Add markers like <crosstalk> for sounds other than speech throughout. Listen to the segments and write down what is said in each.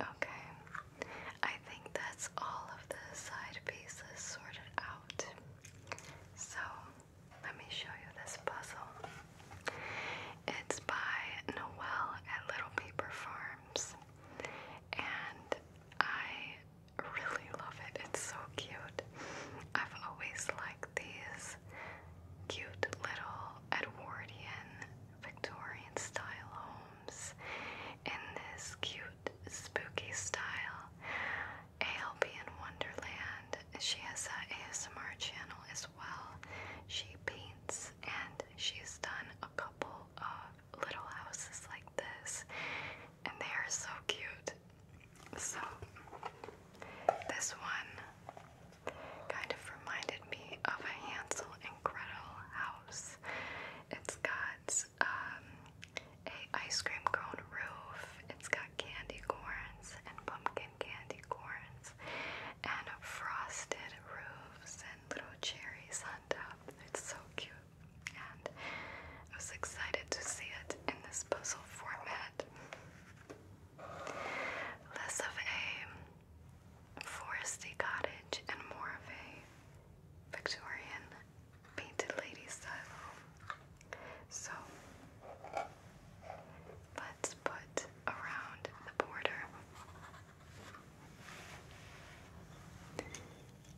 Okay, I think that's all of the side pieces sorted out. So, let me show you this puzzle. It's by Noel at Little Paper Farms, and I really love it. It's so cute. I've always liked these cute little Edwardian Victorian style homes in this cute spooky style. ALB Wonderland. She has a ASMR channel as well. She paints and she's done a couple of little houses like this, and they are so cute. So, this one kind of reminded me of a Hansel and Gretel house. It's got um, a ice cream cone roof. It's got candy corns and pumpkin candy corns and frosted roofs and little cherries on top. It's so cute. And I was excited to see it in this puzzle format. Less of a foresty cottage and more of a Victorian painted lady style. So let's put around the border.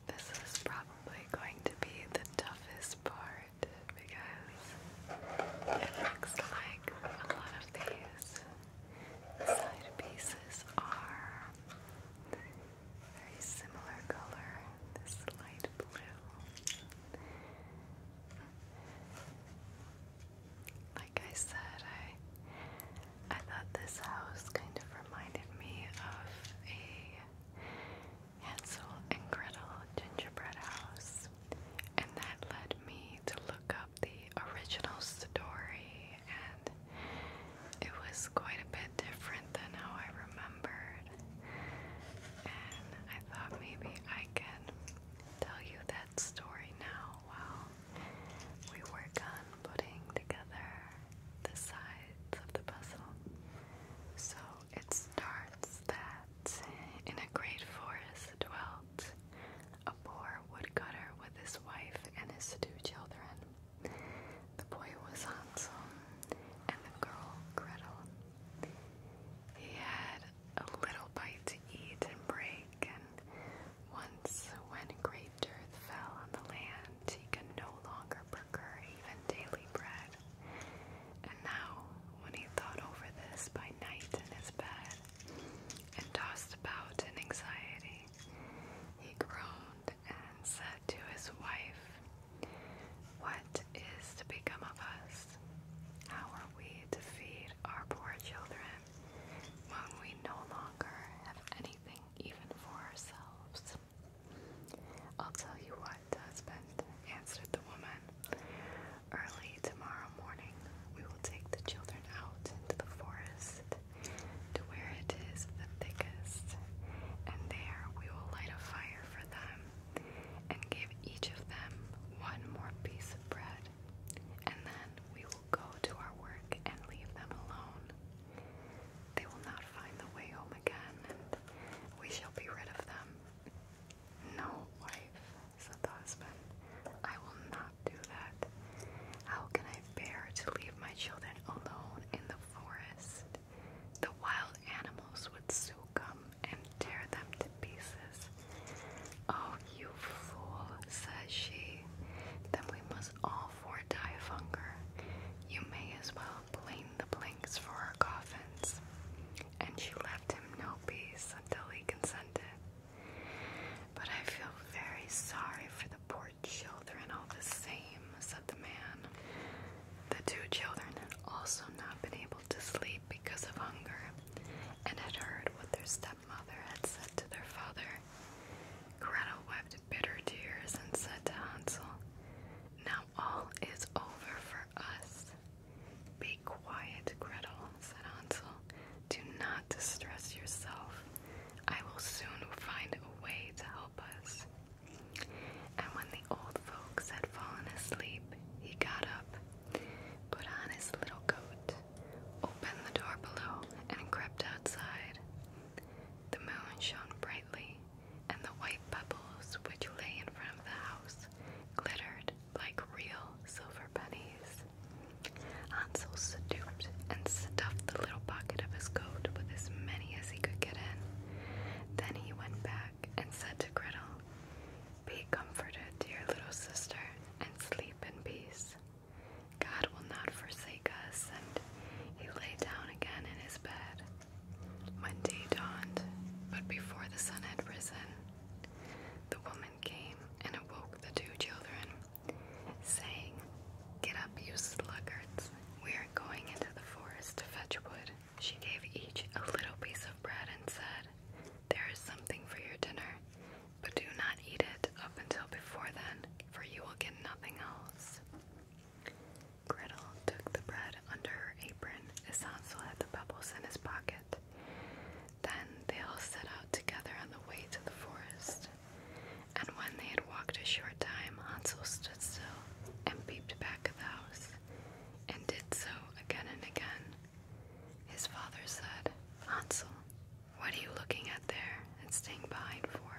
This is probably going to be the toughest part because it looks like a lot of these side pieces are very similar color, this light blue. Like I said, I I thought this house kind of reminded me of a Hansel and Gretel gingerbread house, and that led me to look up the original story, and it was quite a bit different than how I remembered. And I thought maybe I can tell you that story now while we work on putting together the sides of the puzzle. So it starts that in a great forest dwelt a poor woodcutter with his wife and his two children. The boy was Hansel and the girl Gretel. He had a little bite to eat and break, and once when great dearth fell on the land, he could no longer procure even daily bread. And now, when he thought over this by night in his bed, and tossed about in anxiety, he groaned and said to his wife, What is to become of us? How are we to feed our poor children when we no longer have anything even for ourselves? I'll tell you what, husband, answered the woman. Early tomorrow morning, we will take the children out into the forest to where it is the thickest, and there we will light a fire for them, and give each of them one more piece of bread, and then we will go to our work and leave them alone. They will not find the way home again, and we shall be rid of them. No, wife, said the husband, I will not do that. How can I bear to leave my children alone in the forest? the wild animals would them and tear them to pieces. Oh, you fool, says she. Then we must all four die of hunger. You may as well plane the planks for our coffins. And she left him no peace until he consented. But I feel very sorry for the poor children all the same said the man. The two children had also not been able to sleep because of hunger, and had heard what their stepmother had said to their father. Gretel wept bitter tears and said to Hansel, Now all is over for us. Be quiet, Gretel, said Hansel. Do not distress yourself. I will soon find a way to help us. And when the old folks had fallen asleep, he got up, put on his little coat, opened the door below, and crept outside. The moon shone brightly, and the white pebbles which lay in front of the house glittered like real silver pennies. Hansel stooped and stuffed the little pocket of his coat with as many as he could get in. Then he went back and said to Gretel, Be comforted, dear little sister, and sleep in peace. God will not forsake us, and he lay down again in his bed. When day dawned, but before the sun had risen, the woman came and awoke the two children, saying, Get up, you sluggards, we are going into the forest to fetch wood. She gave each a little piece of bread and said, There is something for your dinner, but do not eat it up until before then, for you will get nothing else. Gretel took the bread under her apron Hansel had the pebbles in his pocket. Then they all set out together on the way to the forest. And when they had walked a short time, Hansel stood still and peeped back at the house and did so again and again. His father said, Hansel, what are you looking at there and staying behind for?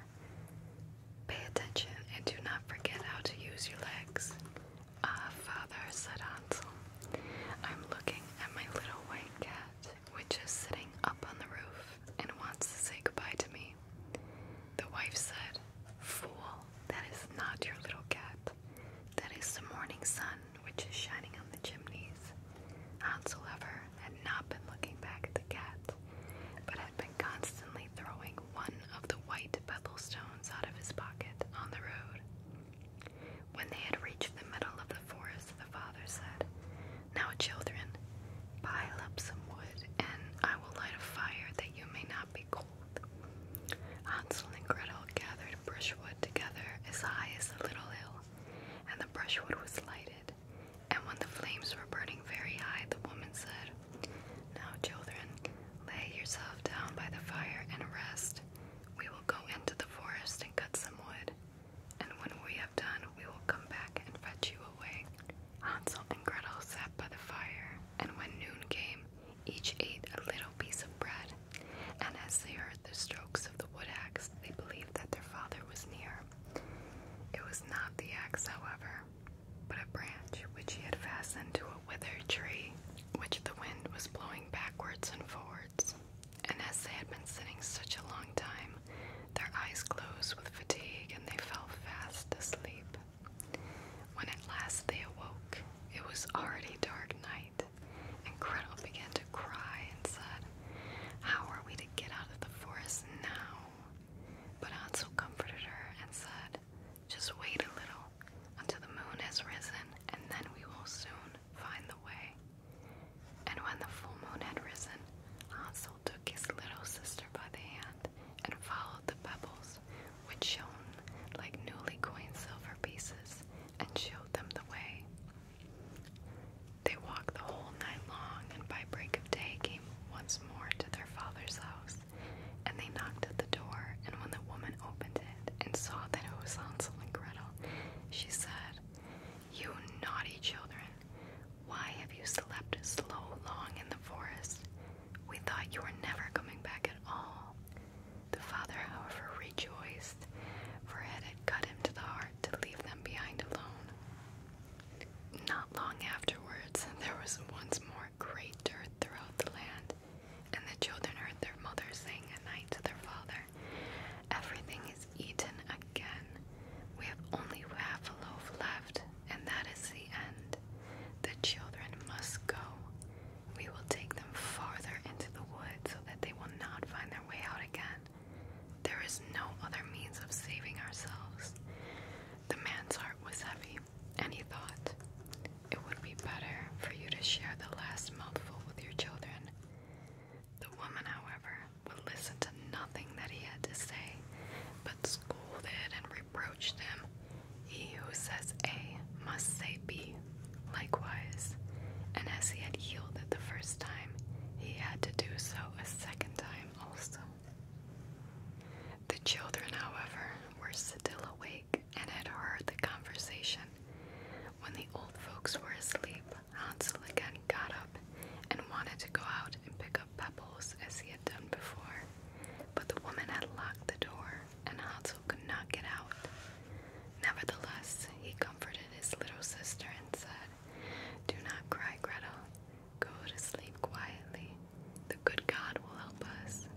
Pay attention and do not forget how to use your legs. Ah, father, said Hansel, I'm looking at my little white cat, which is sitting up on the roof and wants to say goodbye to me. The wife said, Fool, that is not your little cat. That is the morning sun which is shining on the chimneys. Hansel, however, had not been looking back at the cat, but had been constantly throwing one of the white pebble stones out of his pocket on the road. When they had reached the middle of the forest, the father said, Now, children, pile up some wood, and I will light a fire that you may not be cold Hansel and Gretel gathered brushwood together as high as the little hill, and the brushwood was lighted. And when the flames were burning very high, the woman said, Now, children, lay yourselves down by the fire and rest. We will go into the forest and cut some wood, and when we have done, we will come back and fetch you away. Hansel and Gretel sat by the fire and when noon came, each ate a little piece of bread. And as they heard the strokes of the wood axe, they believed that their father was near. It was not the axe, however, but a branch which he had fastened to a withered tree, which the wind was blowing backwards and forwards. And as they had been sitting such a long time, their eyes closed with fatigue and they fell fast asleep. When at last they awoke, it was already dark night, and Gretel began to cry and said, How are we to get out of the forest now? But Hansel comforted her and said, Just wait a little until the moon has risen, and then we will soon find the way. And when the full moon had risen, Hansel took his little sister by the hand and followed the pebbles, which shone like newly coined silver pieces, and showed them the way. They walked the whole night long, and by break of day came once more to their father's house. And they knocked at the door, and when the woman opened it and saw that it was Hansel and Gretel, she said, You naughty children, why have you slept so long in the forest? We thought you were never coming back at all. The father, however, rejoiced, for it had cut him to the heart to leave them behind alone. Not long afterwards, there was once more great dirt throughout the land, and the children heard their mother saying at night to their father, Everything is eaten again. We have only half a loaf left, and that is the end. The children must go. We will take them farther into the wood so that they will not find their way out again. There is no other means of saving ourselves. The man's heart was heavy, and he thought, It would be better for you to share the last mouthful with your children. The woman, however, would listen to nothing that he had to say, but scolded and Approached him, He who says A must say B likewise. And as he had healed it the first time, he had to do so a second time also. The children, however, were still awake and had heard the conversation. When the old folks were asleep, Hansel again got up and wanted to go out and pick up pebbles as he had done before but the woman had locked the door, and Hansel could not get out. Nevertheless, he comforted his little sister and said, Do not cry, Gretel. Go to sleep quietly. The good God will help us.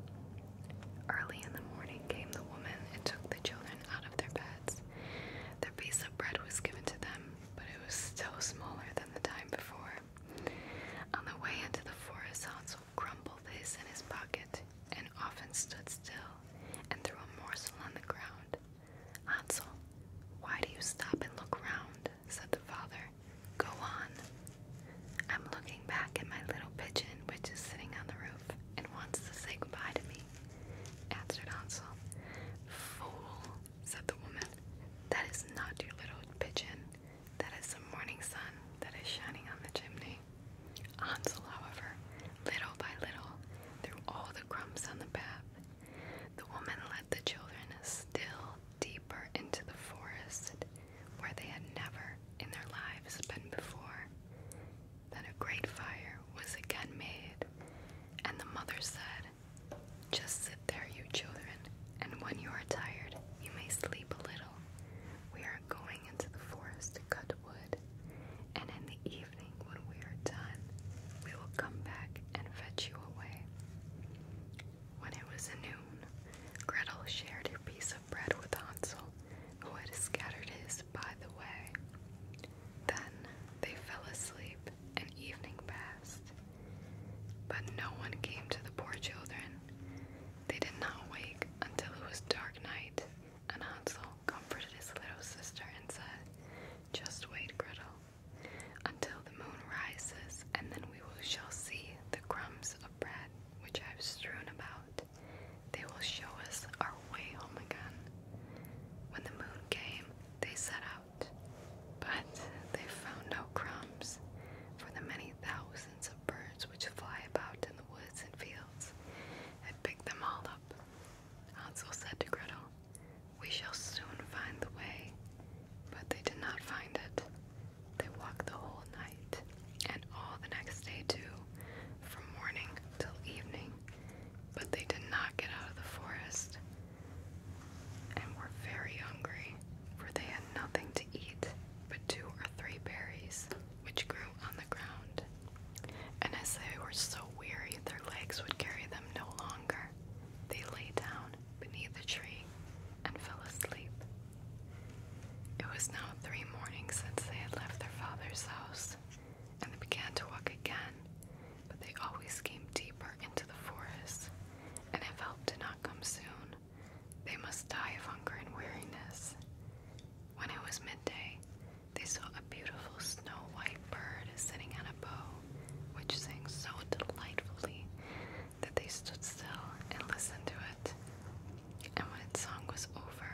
Early in the morning came the woman and took the children out of their beds. Their piece of bread was given to them, but it was still smaller than the time before. On the way into the forest, Hansel crumpled his in his pocket, and often stood still and threw a morsel on the ground. Hansel, why do you stop and look round? said the father. Go on. I'm looking back at my little pigeon, which is sitting on the roof and wants to say goodbye to me, answered Hansel. Fool, said the woman, that is not your little pigeon. That is the morning sun that is shining on the chimney. Hansel, however, little by little, threw all the crumbs on the path. The woman led the children still deeper into the forest where they had never in their lives been before. Then a great fire was again made, and the mother said, Just sit there, you children, and when you are tired, you may sleep a little we are going into the forest to cut wood, and in the evening, when we are done, we will come back and fetch you away. When it was noon, Gretel shared her piece of bread with Hansel, who had scattered his by the way. Then they fell asleep, and evening passed. But no one came to the poor children, they did not wake until it was dark night, and Hansel comforted his little sister and said, Just wait, Gretel, until the moon rises, and then we shall see the crumbs of bread which I have strewn about. They will show us our way home again. When the moon came, they set out, but they found no crumbs, for the many thousands of birds which fly about in the woods and fields, and pick them all up. Hansel said to Gretel, We shall soon find the way. But they did not find it. They walked the whole night, and all the next day too, from morning till evening, but they did not get out of the forest, and were very hungry, for they had nothing to eat but two or three berries, which grew on the ground. And as they were so weary, their legs would carry them no longer. They lay down beneath the tree and fell asleep. It was now three mornings since they had left their father's house, and they began to walk again, but they always came deeper into the forest, and had help to not come soon, they must die of hunger and weariness. When it was midday, they saw a beautiful snow white bird sitting on a bow, which sang so delightfully that they stood still and listened to it. And when its song was over,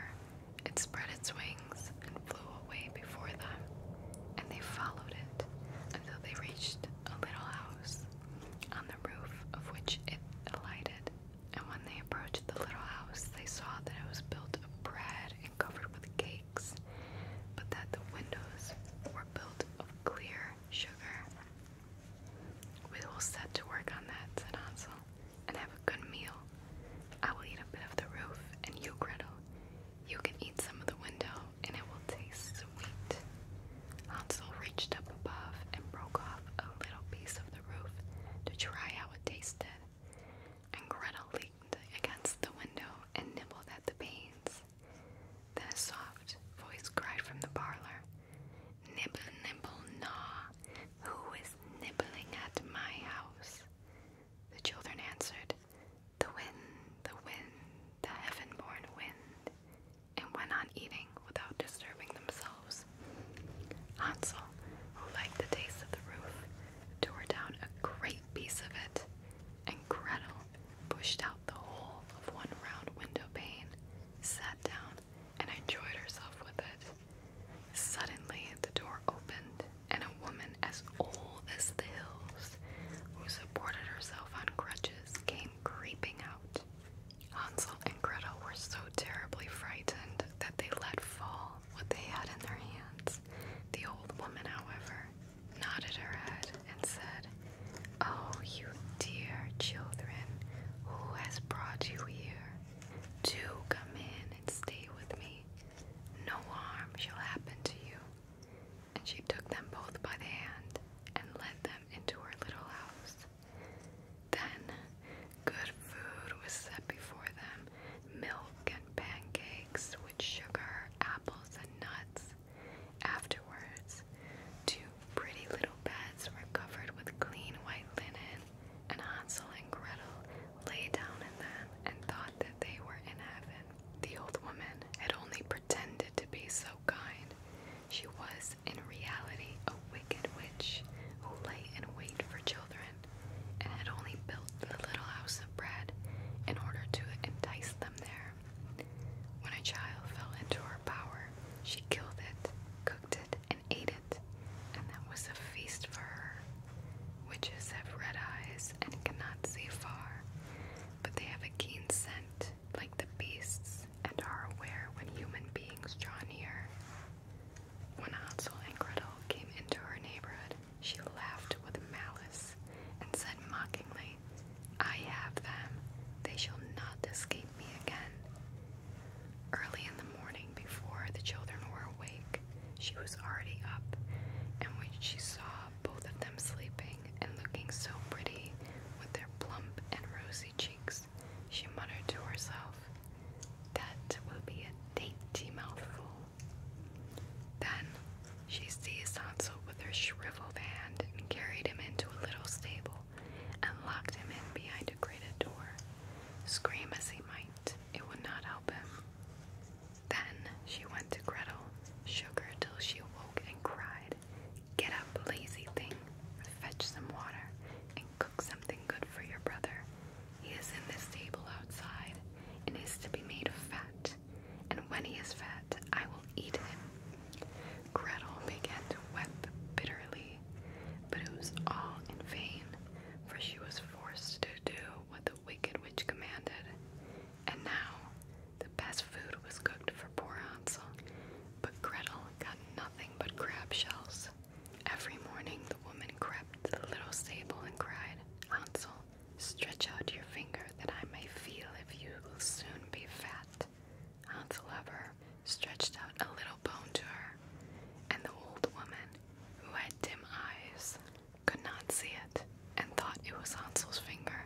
it spread its wings and flew away before them, and they followed it until they reached a little house on roof of which it alighted, and when they approached the little house, they saw that it was built of bread and covered with cakes, but that the windows were built of clear sugar. We will set to work on that, said Hansel, and have a good meal. I will eat a bit of the roof, and you, Gretel, you can eat some of the window, and it will taste sweet. Hansel reached up above and broke off a little piece of the roof to try how it tasted, and Gretel leaned against the window and nibbled at the panes. Then a soft voice cried from the parlor, Nibble, nibble, gnaw! Who is nibbling at my house? The children answered, The wind, the wind, the heaven-born wind and went on eating without disturbing themselves. Hansel, who liked the taste of the roof, tore down a great piece of it, and Gretel pushed out the whole of one round window pane, sat down, and enjoyed herself with it. Suddenly, the door opened, and a woman as old as the hills, who supported herself on crutches, came creeping out. Hansel and Gretel were so terribly frightened that they let fall what they had in their hands. The old woman, however, nodded her head and said, Oh, you dear children, who has brought you here? Do come in and stay with me. No harm shall happen to you. And she took them both by the hand and led them into her little house. Then, good food was set before them milk and pancakes with sugar, apples, and nuts. Afterwards, two pretty little beds were covered with clean white linen, and Hansel and Gretel lay down in them and thought that they were in heaven. The old woman had only pretended to be so kind. She was in reality, a wicked witch who lay in wait for children and had only built the little house of bread in order to entice them there. When a child fell into her power, she killed it, cooked it, and ate it, and that was a feast for her. Witches have red eyes and cannot see far, but they have a keen scent like the beasts, and are aware when human beings draw near. When Hansel and Gretel came into her neighborhood, she laughed with malice and said mockingly, I have them. They shall not escape me again. Early in the morning, before the children were awake, she was already up, and when she saw both of them sleeping and looking so pretty with their plump and rosy cheeks, she muttered to herself. That will be a dainty mouthful. Then she seized Hansel with her shriveled hand and carried him into a little stable and locked him in behind a grated door. Scream as he might, it would not help him. Then she went to Gretel, shook her till she awoke and cried, Get up, lazy thing, fetch some water, and cook something good for your brother. He is in this table outside, and is to be made of fat, and when he is fat, I will eat him. Gretel began to weep bitterly, but it was all in vain, for she was forced to do what the wicked witch commanded. And now the best food was cooked for poor Hansel, but Gretel nothing but crab shells. Every morning the woman crept to the little stable and cried, Hansel, stretch out your finger that I may feel if you will soon be fat. Hansel stretched out a little bone to her, and the old woman, who had dim eyes, could not see it, and thought it was Hansel's finger,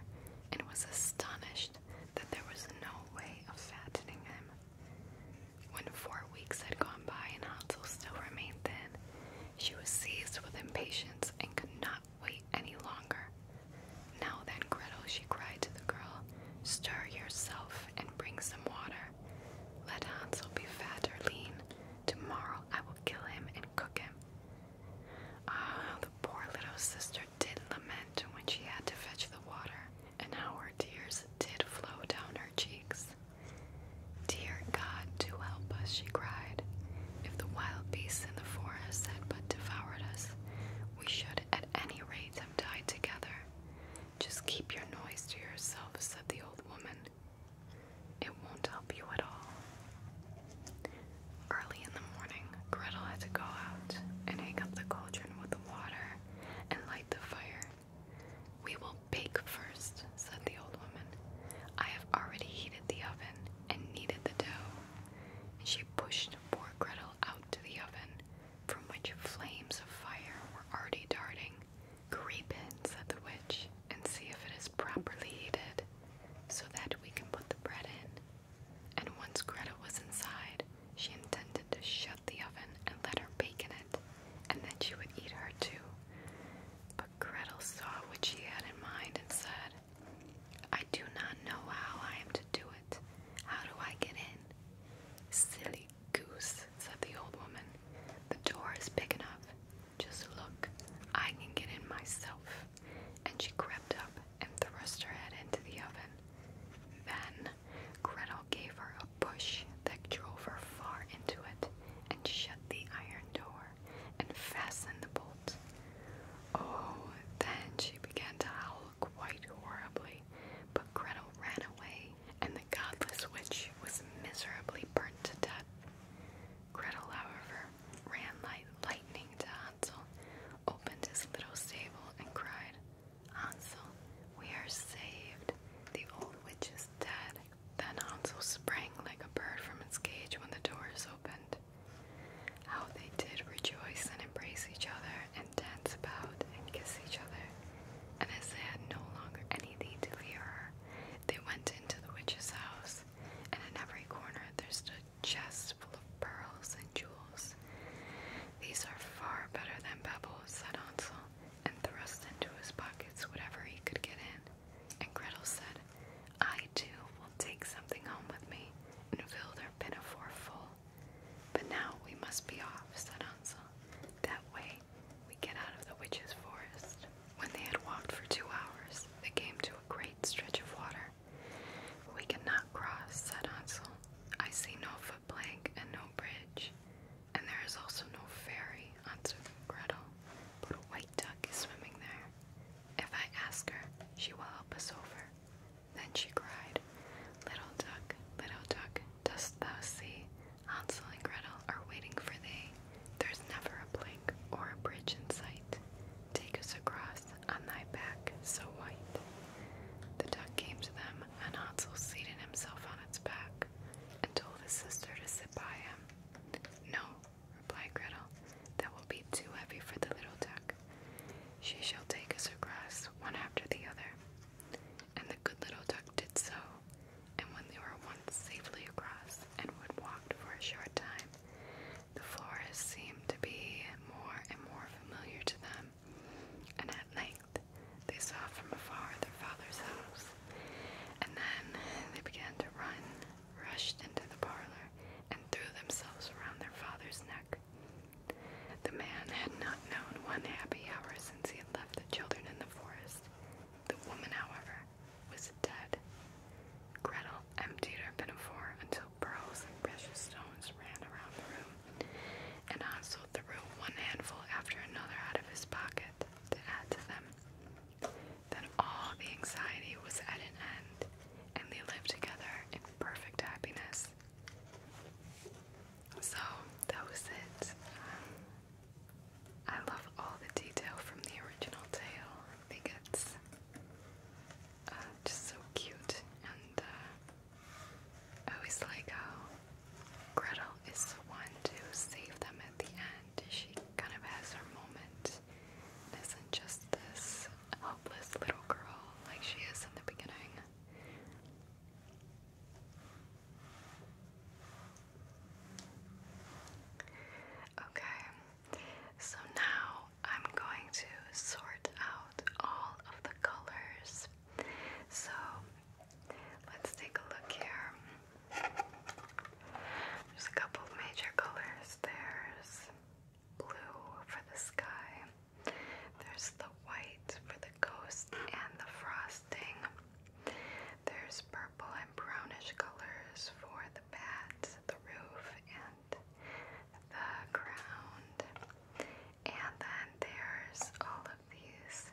and was astonished that there was no way of fattening him. When four weeks had gone by and Hansel still remained thin, she was seized with impatience and could not wait any longer. Now then, Gretel, she cried to the girl, stir yourself and bring some water. Let Hansel be fat or lean. Tomorrow I will kill him and cook him. Ah, the poor little sister did lament when she had to fetch the water, and how her tears did flow down her cheeks. Dear God, do help us, she cried. If the wild beasts in the forest had but devoured us, we should at any rate have died together. Just keep your noise to yourself, said the old woman. It won't help you at all. Early in the morning, Gretel had to go out and hang up the cauldron with the water and light the fire. We will bake first, said the old woman. I have already heated the oven and kneaded the dough. And she pushed poor Gretel out to the oven, from which flames of fire were already darting. Creep in, said the witch, and see if it is properly heated, so that we can put the bread in. And once Greta was inside, she intended to shut the oven and let her bake in it, and then she would eat her too. But Gretel saw what she had in mind and said, I do not know how I am to do it. How do I get in? Silly goose, said the old woman. The door is big enough. Just look, I can get in myself. And she crept up and thrust her head into the oven. Then Gretel gave her a push that drove her far into it, and shut the iron door, and fastened the bolt. Oh, then she began to howl quite horribly, but Gretel ran away, and the godless witch was miserably burnt to death. Gretel, however, ran like lightning to Hansel, opened his little stable, and cried, Hansel, we are saved. The old witch is dead. Then Hansel sprang like a bird from its cage when the doors opened. How they did rejoice and embrace each other and dance about and kiss each other. And as they had no longer anything to fear her, they went into the witch's house, and in every corner there stood chests full of pearls and jewels. These are far better than pebbles, said Hansel, and thrust into his pockets whatever he could get in. And Gretel said, I too will take something home with me, and fill their pinafore full. But now we must be off, said Hansel. That way we get out of the witch's forest. When they had walked for two hours, they came to a great stretch of water. We cannot cross, said Hansel. I see no foot plank and no bridge, and there is also no ferry onto Gretel, but a white duck is swimming there. If I ask her, she will help us over. Then she cried, Little duck, little duck, dost thou see? Hansel and Gretel are waiting for thee. There's never a plank or a bridge in sight. Take us across on thy back so white. The duck came to them and Hansel seated himself on its back and told his sister to sit by him. No, replied Gretel, that will be too heavy for the little duck. She shall take us across one after the other. And the good little duck did so, and when they were once safely across and would walked for a short time, the forest seemed to be more and more familiar to them, and at length they saw from afar their father's house. And then they began to run, rushed into the parlor, and threw themselves around their father's neck. The man had not known one happy hour since he had left the children in the forest. The woman, however, was dead. Gretel emptied her pinafore until pearls and precious stones ran around the room, and Hansel threw one handful after another out of his pocket to add to them. Then all the anxiety was at an end, and they lived together in perfect happiness. So that was it. I love all the detail from the original tale. I think it's just so cute and uh, Oh, it's like how Gretel is the one to save them at the end. She kind of has her moment. is isn't just this helpless little girl like she is in the beginning. Okay, so now I'm going to sort out all of the colors so let's take a look here. There's a couple of major colors. There's blue for the sky, there's the white for the ghost and the frosting, there's purple and brownish colors for the bat, the roof, and the ground. And then there's all of these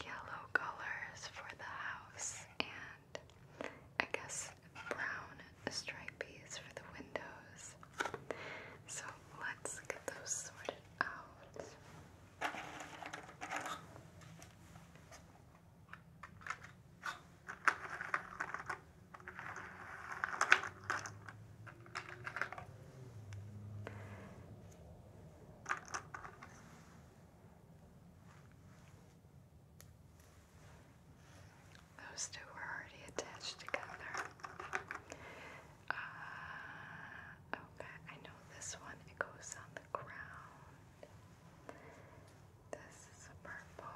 yellow colors for the house and I guess brown stripies for the windows. So let's get those sorted out. Those two were already attached together. Uh, okay, I know this one, it goes on the ground. This is purple.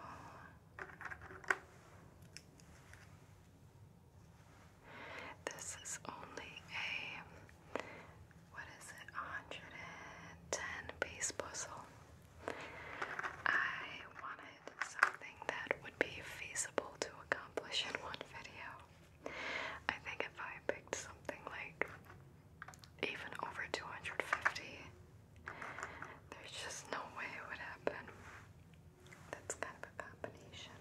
This is only a what is it, 110 piece puzzle. I wanted something that would be feasible to accomplish in one video. I think if I picked something like even over 250, there's just no way it would happen. That's kind of a combination.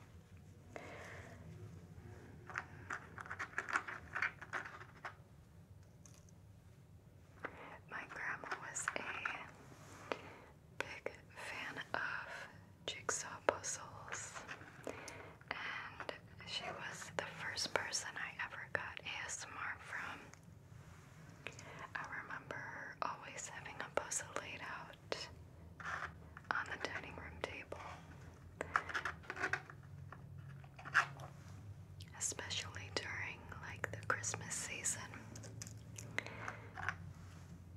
My grandma was a big fan of jigsaw puzzles, and she was the first person I ever got ASMR from. I remember her always having a puzzle laid out on the dining room table. Especially during like the Christmas season.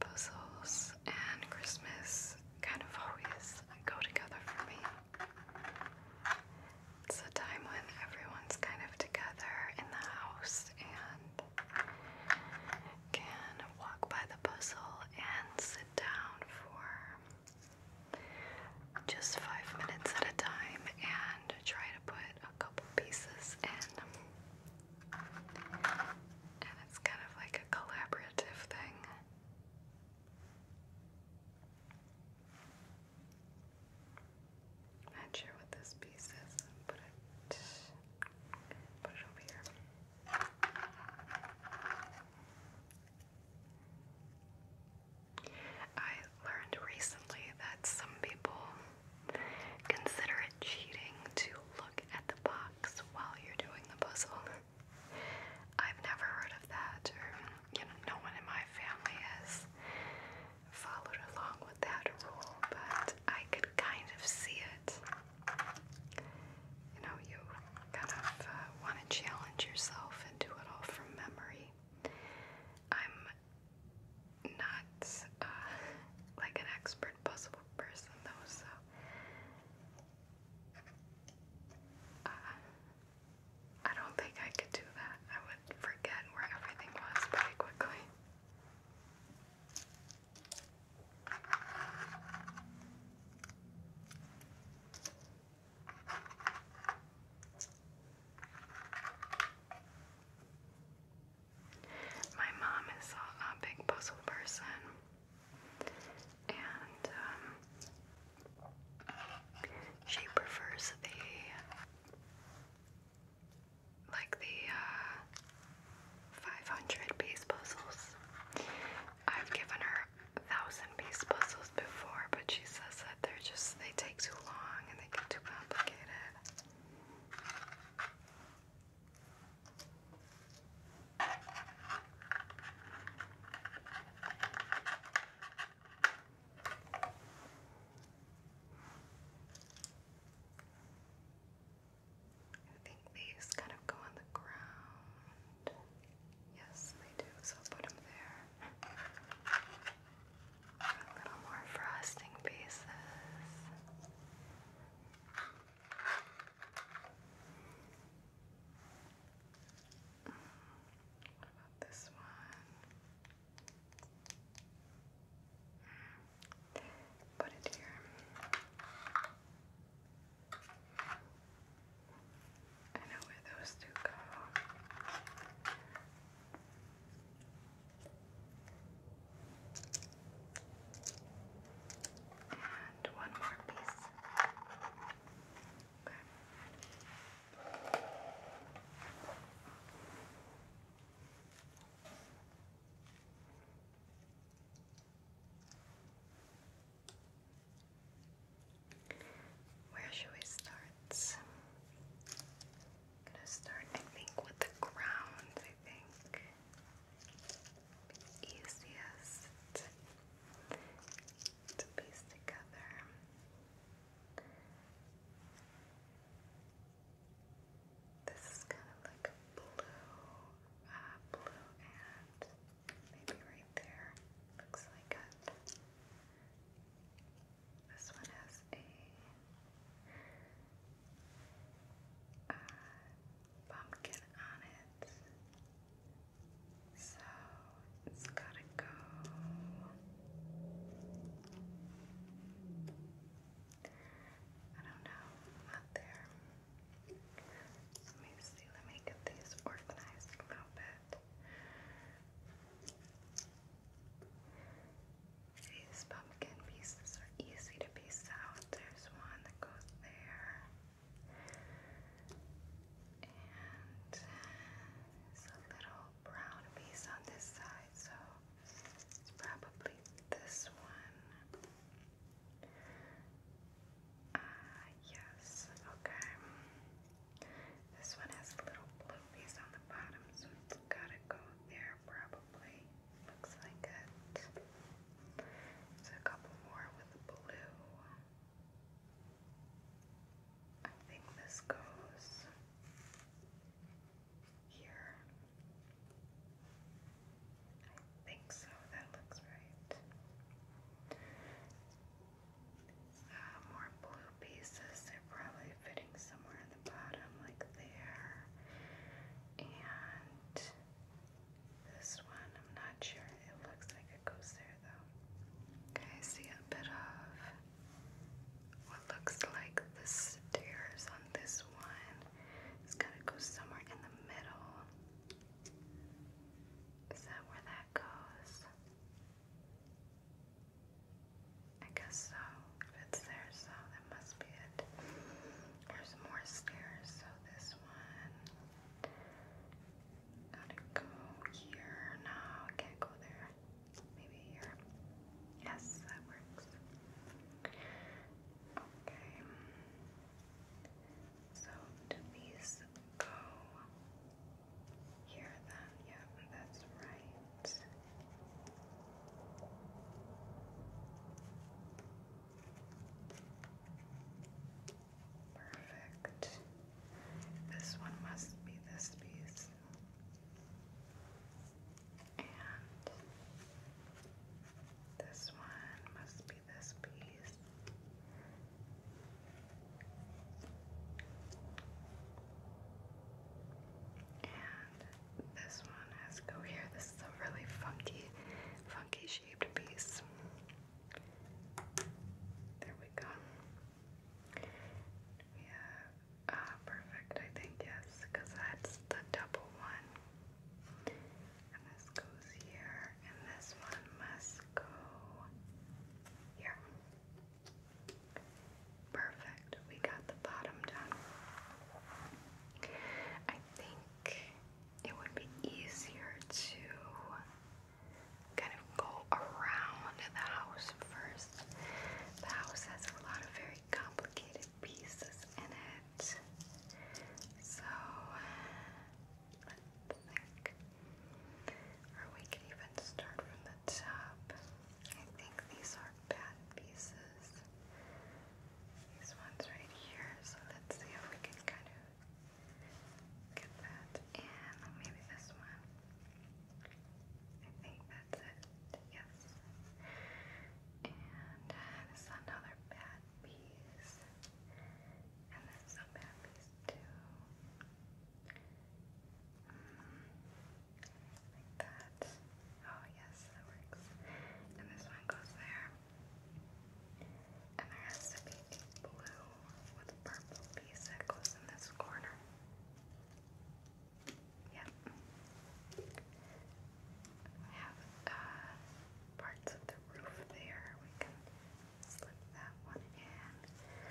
Puzzles and Christmas kind of always go together for me. It's a time when everyone's kind of together in the house and can walk by the puzzle and sit down for just five minutes at a time and try to put a couple pieces in. And it's kind of like a collaborative thing. Not sure what this piece is. Put it, over here. I learned recently that some people consider it cheating to look at the box while you're doing the puzzle. I've never heard of that, or you know, no one in my family has followed along with that rule, but I could kind of see it you know, you kind of uh, want to challenge yourself and do it all from memory. I'm not uh, like an expert puzzle person, though, so uh, I don't think I could do that. I would forget where everything was pretty quickly. My mom is a, big puzzle person, and um, she prefers the like the uh, 500 piece puzzles. I've given her thousand piece puzzles before, but she says that they're just, they take too long and they get too complicated. I think these kind of go on the ground. Yes, they do, so I'll put them there. a little more frosting pieces. Mm, what about this one? Mm, put it here. I know where those two go. And one more piece. Okay. Where should we start? gonna start, I think, with the ground, I think. easiest to piece together. This is kind of like a blue, uh, blue and maybe right there. Looks like it. This one has a uh, pumpkin on it. So it's gotta go. I don't know, not there. Let me see, let me get these organized a little bit. These pumpkin pieces are easy to piece out. There's one that goes there. And uh, it's a little brown piece on this side, so it's probably this one. Ah, uh, yes, okay. This one has little blue on the bottom, so it's gotta go there probably. Looks like it. There's a couple more with blue. I think this goes here. I think so, that looks right. Uh, more blue pieces, they're probably fitting somewhere in the bottom, like there. And this one, I'm not sure, it looks like it goes there though. Okay, see a bit of what looks like the stairs on this one. It's gotta go somewhere in the middle. Is that where that goes? I guess so. If it's there, so that must be it. There's more stairs, so this one. Gotta go here. No, can't go there. Maybe here. Yes, that works. Okay. So do these go here then? Yep, that's right. Perfect. This one must be this piece. And this one must be this piece. And this one has to go here. This is a really funky, funky shaped piece. There we go. We ah, uh, perfect, I think, yes, because that's the double one. And this goes here, and this one must go here. Perfect. We got the bottom done. I think it would be easier to kind of go around the house first. The house has a lot of very complicated pieces in it. So let's think. Or we can even start from the top. I think these are bad pieces. These ones right here. So let's see if we can kind of get that. And maybe this one. I think that's it. Yes. And uh, this another bad Pappies. And then some Pappies too. like that. Oh yes, that works. And this one goes there. And there has to be a blue with a purple piece that goes in this corner. Yep have uh, parts of the roof there. We can slip that one in.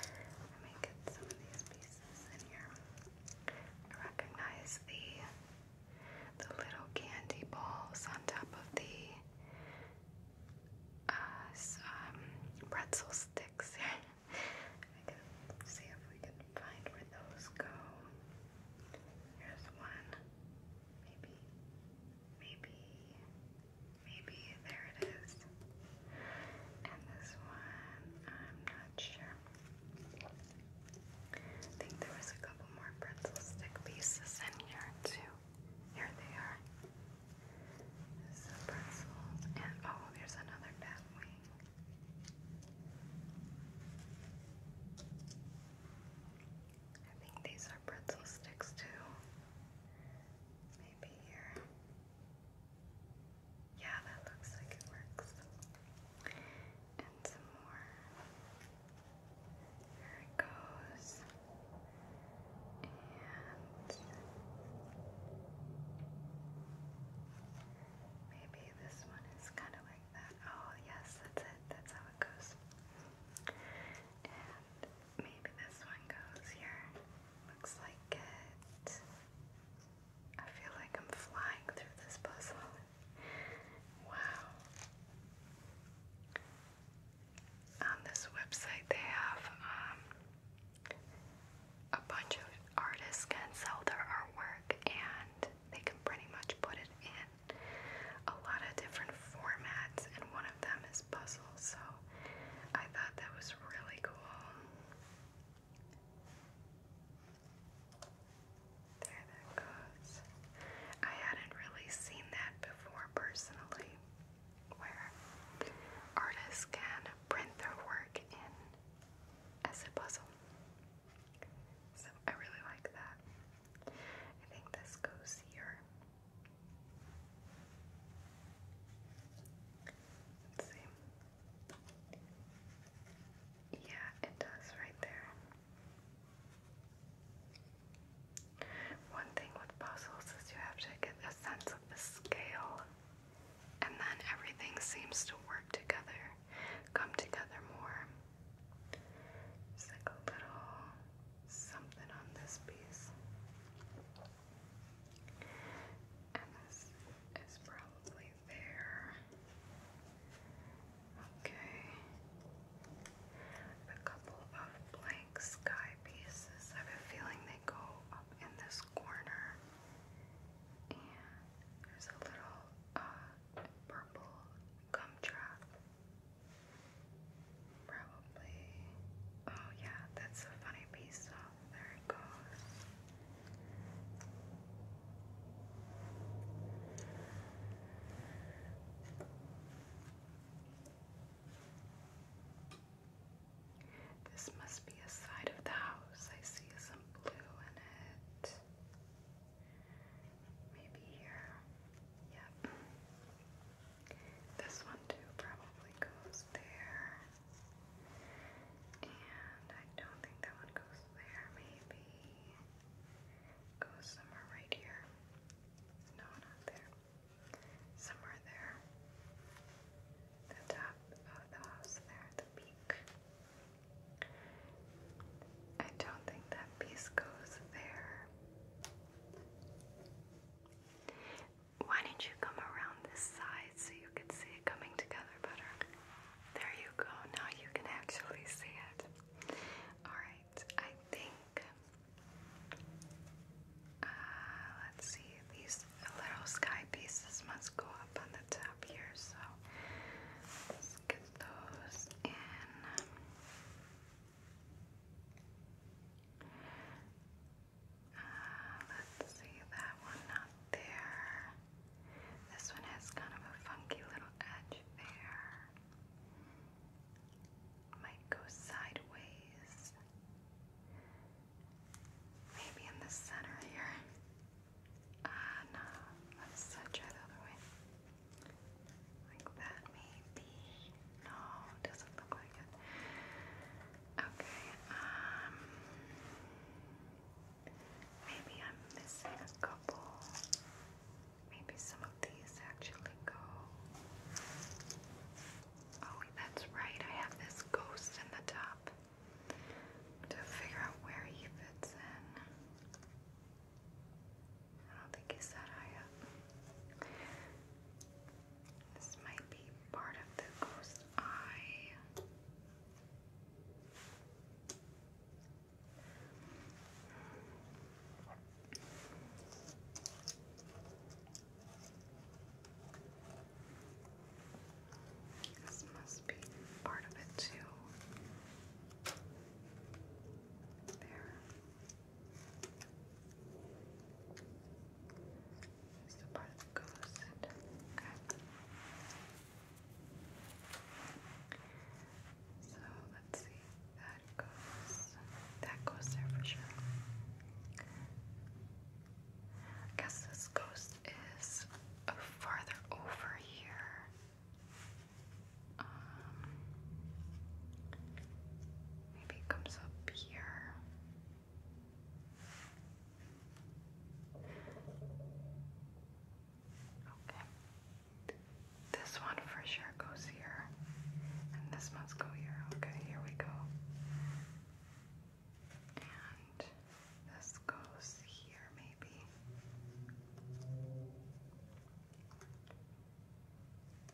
Let me get some of these pieces in here. I recognize the the little candy balls on top of the uh, um, pretzel sticks. <laughs> I can see if we can find where those go. Here's one. Maybe, maybe, maybe there it is. And this one, I'm not sure. I think there was a couple more pretzel stick pieces in here too. Here they are. This pretzels, and oh, there's another bat wing. I think these are pretzel sticks too. Maybe here. Yeah, that looks like it works. And some more. There it goes. And maybe this one is kind of like that. Oh, yes, that's it. That's how it goes. And maybe this one goes here. Looks like it. I feel like I'm flying through this puzzle. Wow. On this website, they have um, a bunch of artists can sell their artwork and they can pretty much put it in a lot of different formats, and one of them is puzzles. So I thought that was really cool. There that goes. I hadn't really seen that before personally, where artists can print their work in as a puzzle. So I really like that. I think this goes here. Let's see. Yeah, it does right there. One thing with puzzles is you have to get a sense of the scale, and then everything seems to work together, come together more. It's like a little something on this piece. And this is probably there. Okay. A couple of blank sky pieces. I have a feeling they go up in this corner. And there's a little uh, purple gumdrop Probably. Oh, yeah, that's a funny piece. So oh, there it goes. This must be a side of the house. I see some blue in it. Maybe here. Yep. This one too probably goes there. And I don't think that one goes there. Maybe goes somewhere right here. No, not there. Somewhere there. The top of the house there, the peak. I don't think that piece goes there. Why didn't you come around this side so you could see it coming together better? There you go. Now you can actually see it. Alright, I think. Uh, let's see, these little sky pieces must go up on the top here, so let's get those in let's see, that one not there. This one has kind of a funky little edge there. Might go sideways. Maybe in the center here. Ah, no. Let's try the other way. Like that, maybe. No, doesn't look like it. Okay, um, maybe I'm missing a couple. Maybe some of these actually go. Oh, that's right. I have this ghost in the top to figure out where he fits in. I don't think it's that high up. This might be part of the ghost eye. This must be part of it too. There. It's part that goes in. So let's see. That goes. That goes there for sure. I guess this ghost is farther over here maybe comes up here. Okay. This one for sure goes here. And this must go here. Okay, here we go. And this goes here, maybe.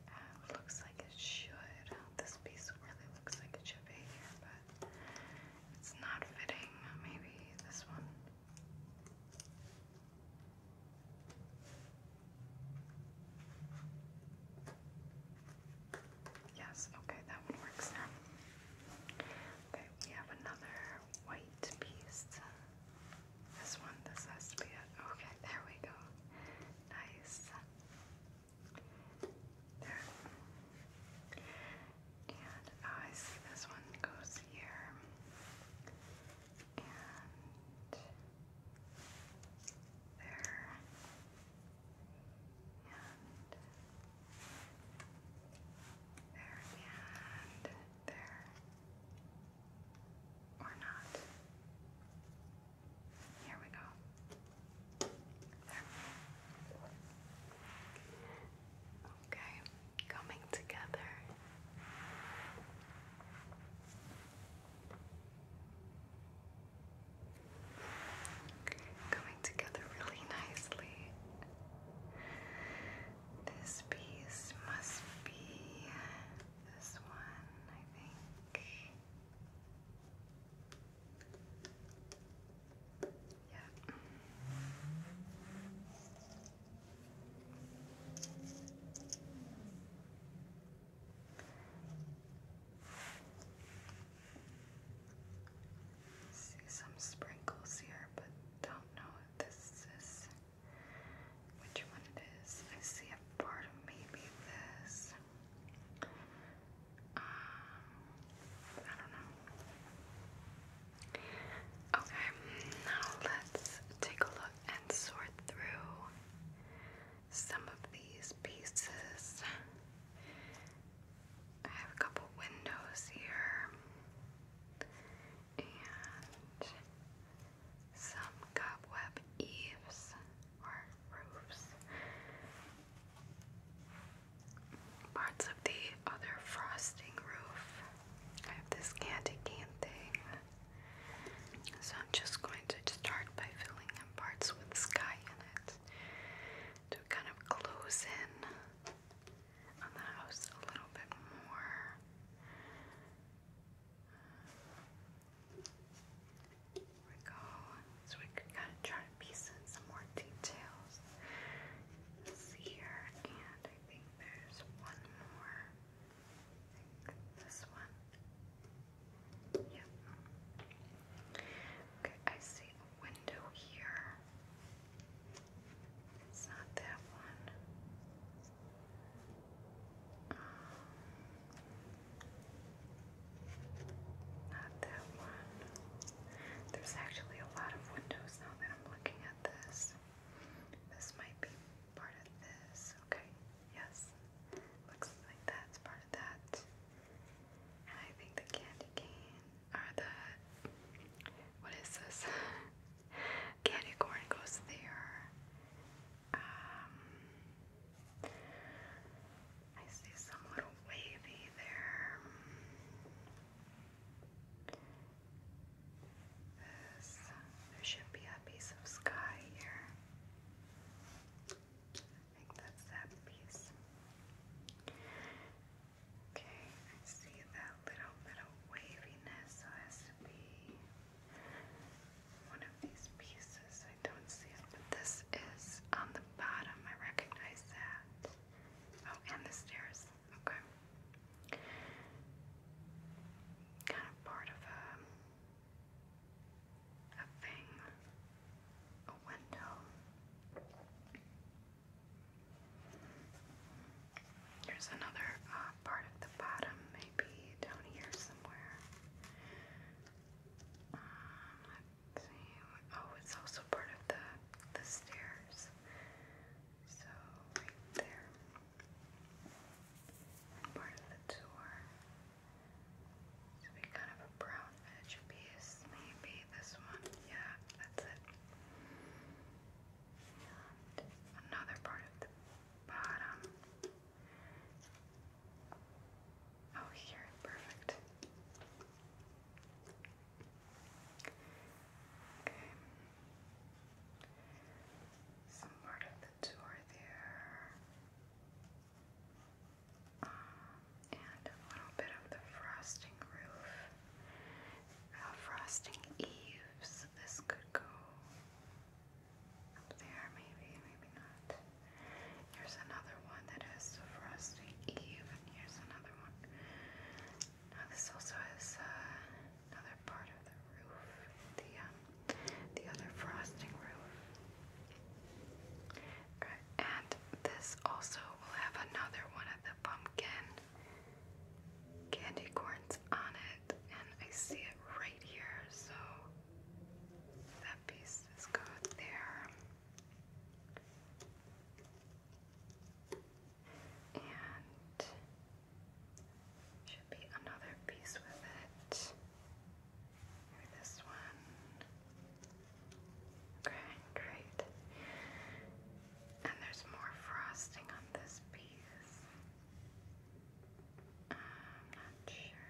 Uh, looks like it should. This piece really looks like it should be here, but it's not fitting. Maybe this one. Yes, okay, that one works now. Okay, we have another white piece. This one, this has to be it. Okay, there we go. Nice. There. And oh, this one goes here. And there. And there. And there or not. Here we go. There. Okay, coming together. Coming together really nicely. This piece must be this one, I think. Yep. See some sprinkles here, but don't know what this is which one it is. I see a part of maybe this. Um, I don't know. Okay, now let's take a look and sort through some of these pieces. I have a couple windows here and some cobweb eaves or roofs. Parts of the other frosting roof. I have this candy cane thing. So I'm just going to start by filling in parts with sky in it to kind of close in on the house a little bit more. There we go. So we could kind of try to piece in some more details. This here, and I think there's one more. this one. Yep. Okay, I see a window here. It's not that one. Not that one. There's actually a lot of windows now that I'm looking at this. This might be part of this. Okay, yes. Looks like that's part of that. And I think the candy cane, or the, what is this? <laughs> candy corn goes there. Um, I see some little wavy there. there should be a piece of sky here. I think that's that piece. Okay, I see that little bit of waviness, so it has to be one of these pieces. I don't see it, but this is on the bottom. I recognize that. Oh, and the stairs. Okay. Kind of part of a a thing. A window. Here's another uh, part of the bottom, maybe down here somewhere. Um, oh, it's also part of the the stairs. So right there, part of the tour. So we kind of a brown edge piece, maybe this one. Yeah, that's it. And another part of the bottom. Oh, here, perfect. Okay. Some part of the tour there. Um, and a little bit of the frosting roof. Uh, frosting eaves. This could go there, maybe, maybe not. Here's another one that has the Frosty Eve, here's another one. Now this also has uh, another part of the roof, the um, the other frosting roof. Right, and this also will have another one of the pumpkin candy corns on it and I see it right here, so that piece is good there. And should be another piece with it. this one. Okay, great. And there's more frosting on this piece. I'm not sure.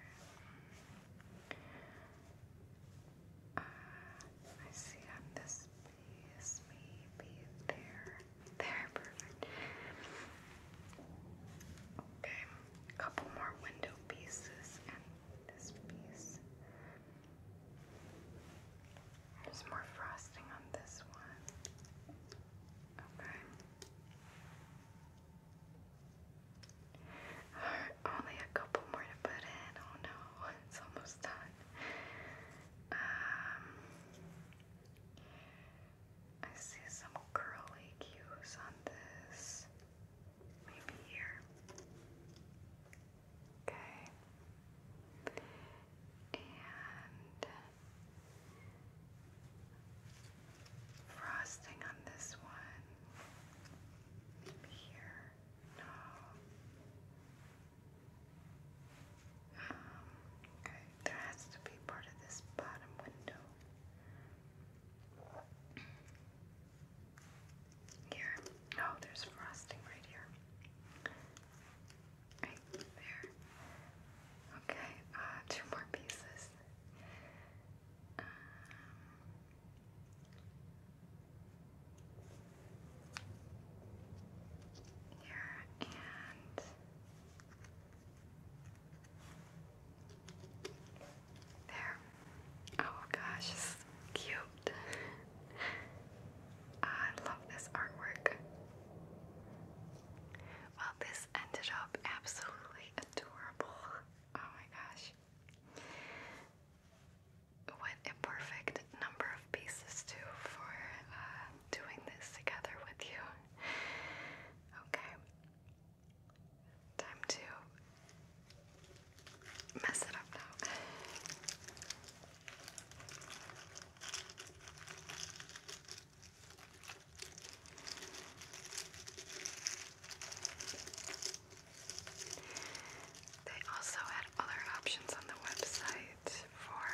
Uh, I see on this piece, maybe there. There, perfect. Okay, a couple more window pieces and this piece. There's more frosting on this one. Okay only a couple more to put in. Oh no, <laughs> it's almost done. Um, I see some curly cues on this. Maybe here. Okay. And Frosting on this one. here. No. Um, okay, there has to be part of this bottom window. Here. Oh, there's frosting right here. Right there. Okay, uh, two more pieces. Um, here and there. Oh gosh, cute. <laughs> I love this artwork. Well, this ended up absolutely adorable. Oh my gosh. What a perfect number of pieces, too, for uh, doing this together with you. Okay. Time to mess it up now. They also had other options on the website for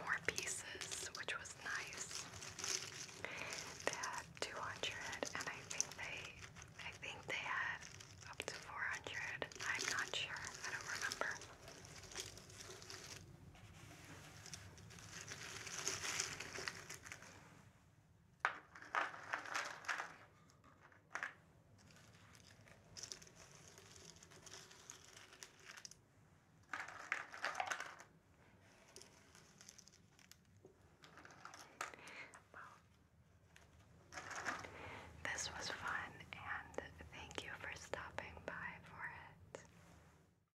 more pieces, which was nice. They had 200, and I think they, I think they had up to 400. I'm not sure. I don't remember this was fun, and thank you for stopping by for it.